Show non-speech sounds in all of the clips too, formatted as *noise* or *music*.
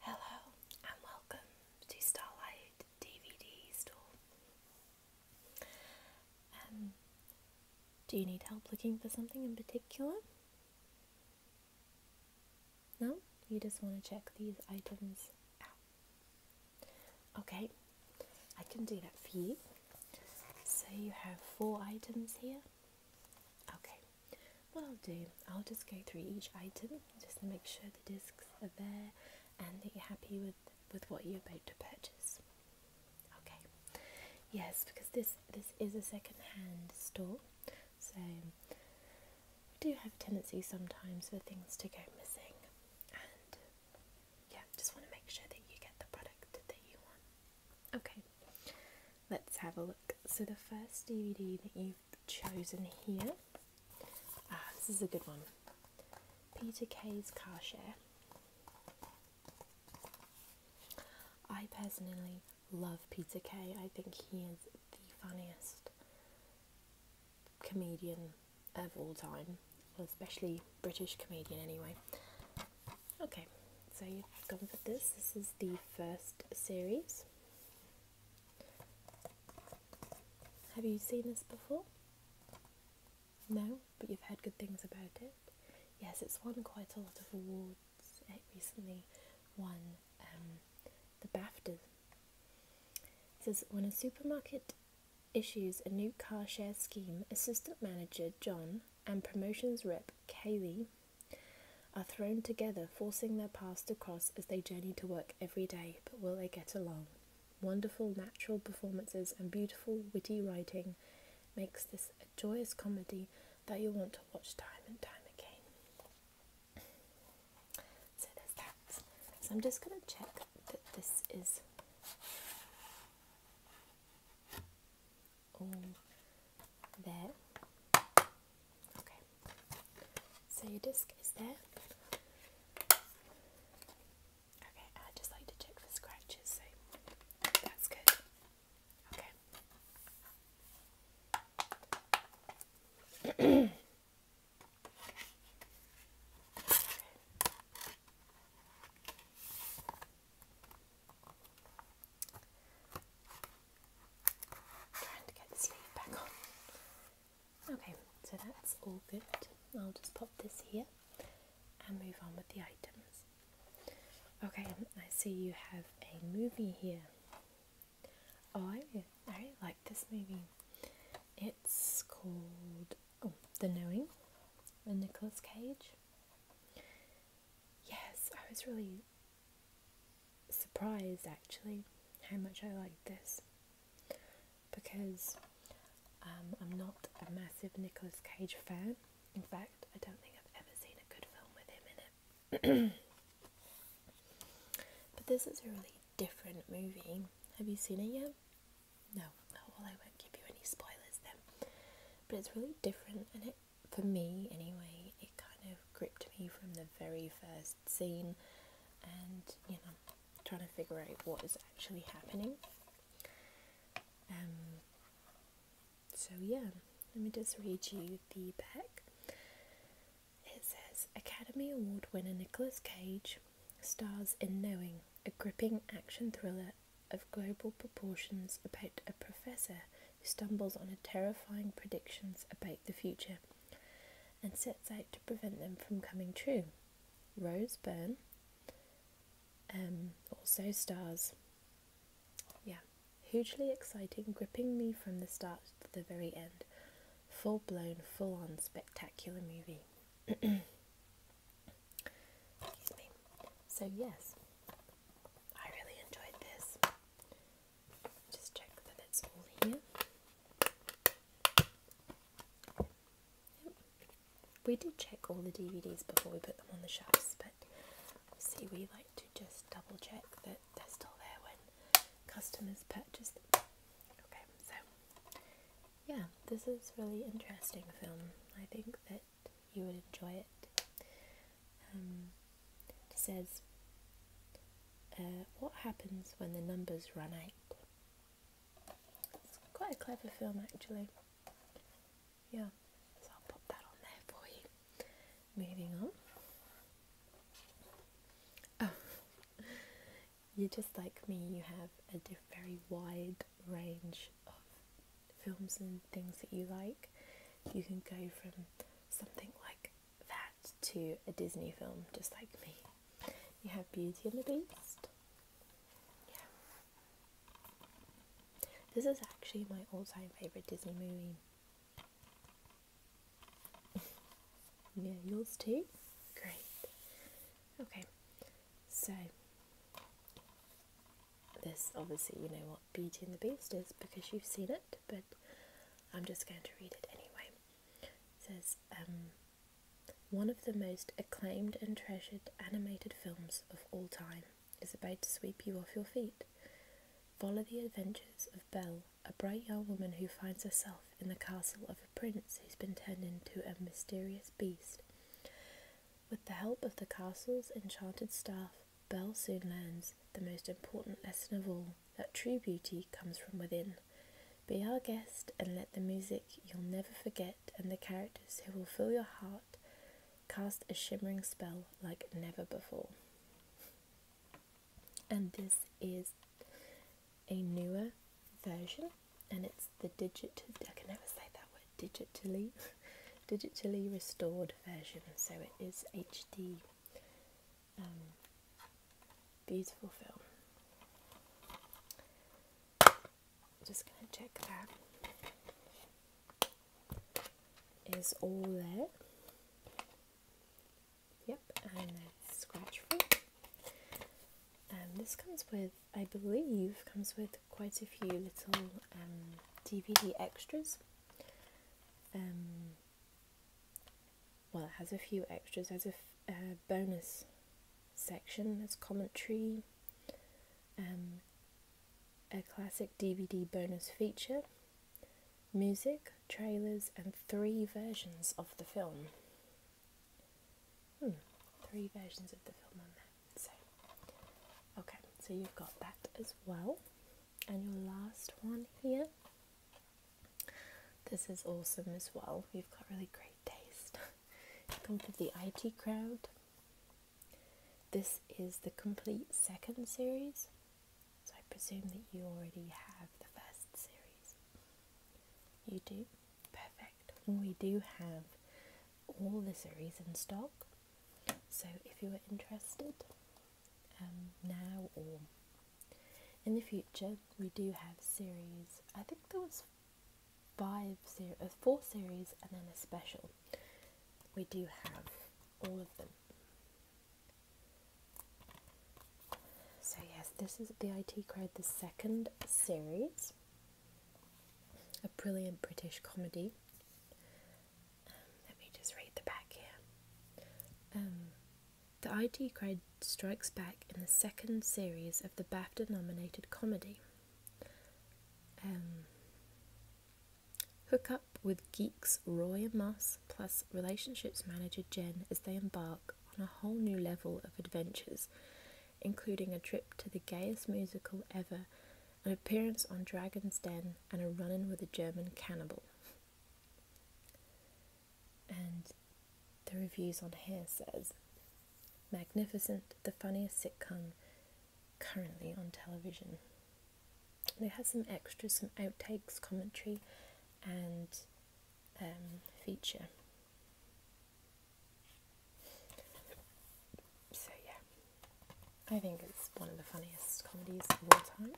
Hello and welcome to Starlight DVD Store. Um, do you need help looking for something in particular? No, you just want to check these items out. Okay, I can do that for you. So you have four items here. Okay, what I'll do, I'll just go through each item just to make sure the discs are there and that you're happy with, with what you're about to purchase. Okay. Yes, because this this is a second-hand store, so we do have a tendency sometimes for things to go missing, and yeah, just want to make sure that you get the product that you want. Okay. Let's have a look. So the first DVD that you've chosen here, ah, this is a good one. Peter Kay's Car Share. I personally love Peter Kay. I think he is the funniest comedian of all time, well, especially British comedian anyway. Okay, so you've gone for this. This is the first series. Have you seen this before? No, but you've heard good things about it. Yes, it's won quite a lot of awards it recently won um, the BAFTAs. It says, when a supermarket issues a new car share scheme, assistant manager John and promotions rep Kaylee are thrown together, forcing their paths to cross as they journey to work every day. But will they get along? Wonderful natural performances and beautiful, witty writing makes this a joyous comedy that you'll want to watch time and time again. So there's that. So I'm just going to check that this is all there. Okay, so your disc is there. Okay, I just like to check for scratches, so that's good. Okay. Trying to get the sleeve back on. Okay, so that's all good. I'll just pop this here and move on with the items. Okay, I see you have a movie here. Oh, I really, I really like this movie. It's called oh, The Knowing with Nicolas Cage. Yes, I was really surprised actually how much I liked this because um, I'm not a massive Nicolas Cage fan. In fact, I don't think I've ever seen a good film with him in it. *clears throat* but this is a really different movie. Have you seen it yet? No. well, I won't give you any spoilers then. But it's really different, and it, for me anyway, it kind of gripped me from the very first scene and, you know, trying to figure out what is actually happening. Um, so, yeah, let me just read you the back. It says Academy Award winner Nicholas Cage stars in Knowing, a gripping action thriller of global proportions about a professor who stumbles on terrifying predictions about the future and sets out to prevent them from coming true. Rose Byrne um, also stars yeah, hugely exciting, gripping me from the start to the very end. Full blown, full on, spectacular movie. *clears throat* Excuse me. So, yes, I really enjoyed this. Just check that it's all here we did check all the DVDs before we put them on the shelves, but see, we like to just double check that they're still there when customers purchase them. Okay, so yeah, this is really interesting film. I think that you would enjoy it. Um, it says, uh, "What happens when the numbers run out?" It's quite a clever film, actually yeah, so I'll pop that on there for you. Moving on. Oh, *laughs* you're just like me, you have a very wide range of films and things that you like. You can go from something like that to a Disney film, just like me. You have Beauty and the Beast. Yeah. This is actually my all time favourite Disney movie. *laughs* yeah, yours too? Great. Okay, so this obviously, you know what Beauty and the Beast is because you've seen it, but I'm just going to read it anyway. says, um, one of the most acclaimed and treasured animated films of all time is about to sweep you off your feet. Follow the adventures of Belle, a bright young woman who finds herself in the castle of a prince who's been turned into a mysterious beast. With the help of the castle's enchanted staff, Belle soon learns the most important lesson of all that true beauty comes from within. Be our guest and let the music you'll never forget and the characters who will fill your heart cast a shimmering spell like never before. And this is a newer version, and it's the digit. I can never say that word. Digitally, *laughs* digitally restored version. So it is HD. Um, beautiful film just gonna check that is all there. Yep, and scratch free. Um, this comes with, I believe, comes with quite a few little DVD um, extras. Um, well, it has a few extras. There's a, a uh, bonus section. There's commentary. Um, a classic DVD bonus feature, music, trailers, and three versions of the film. Hmm, three versions of the film on there. So, okay, so you've got that as well. And your last one here. This is awesome as well. You've got really great taste. *laughs* Come for the IT crowd. This is the complete second series, so I presume that you already have the first series. You do? Perfect. We do have all the series in stock, so if you are interested um, now or in the future, we do have series. I think there was five series, uh, four series, and then a special. We do have all of them. So yes, this is the IT Crowd, the second series, a brilliant British comedy. Um, let me just read the back here. Um, the IT Crowd strikes back in the second series of the BAFTA-nominated comedy. Um, hook up with geeks Roy and Moss plus relationships manager Jen as they embark on a whole new level of adventures, including a trip to the gayest musical ever, an appearance on Dragon's Den, and a run in with a German cannibal. And the reviews on here says Magnificent, the funniest sitcom currently on television. They have some extras, some outtakes, commentary, and um, feature. So, yeah, I think it's one of the funniest comedies of all time.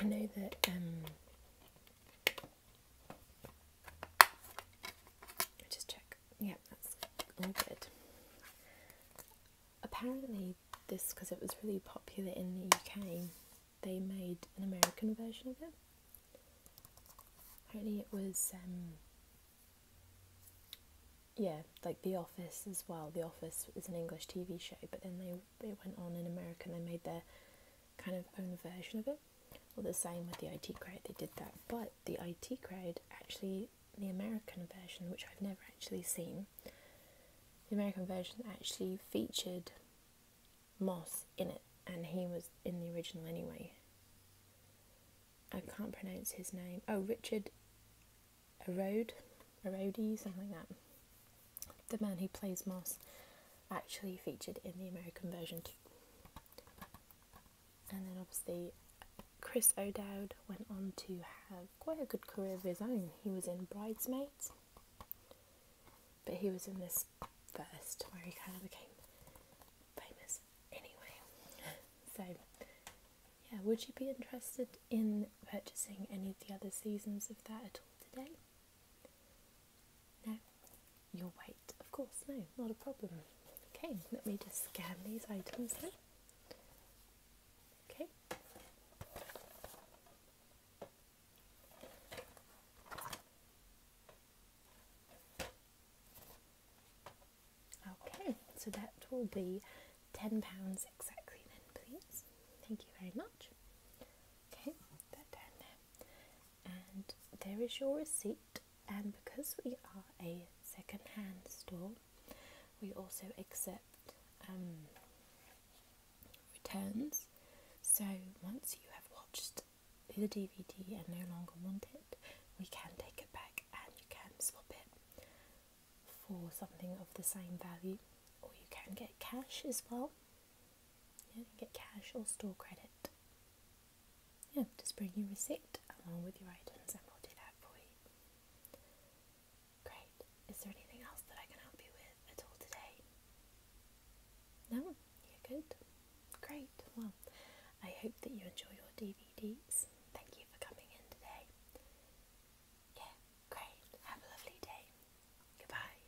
I know that um, just check. Yeah, that's all good. Apparently, this because it was really popular in the UK, they made an American version of it. Only it was um, yeah, like The Office as well. The Office is an English TV show, but then they it went on in America and they made their kind of own version of it. Well, the same with the IT crowd. they did that, but the IT crowd actually, the American version, which I've never actually seen, the American version actually featured Moss in it, and he was in the original anyway. I can't pronounce his name. Oh, Richard Erode, Erode, something like that. The man who plays Moss actually featured in the American version too. And then obviously, Chris O'Dowd went on to have quite a good career of his own. He was in Bridesmaids, but he was in this first where he kind of became famous anyway. *laughs* So, yeah, would you be interested in purchasing any of the other seasons of that at all today? No, you're of course, no, not a problem. Okay, let me just scan these items Okay. Okay, so that will be £10 exactly then, please. Thank you very much. Okay, that down there and there is your receipt. And because we are a second-hand store, we also accept um, returns. So once you have watched the DVD and no longer want it, we can take it back and you can swap it for something of the same value, or you can get cash as well. Yeah, get cash or store credit. Yeah, just bring your receipt along with your items and we'll do that for you. Great. Is there anything else that I can help you with at all today? No? good? Great. Well, I hope that you enjoy your DVDs. Thank you for coming in today. Yeah, great. Have a lovely day. Goodbye.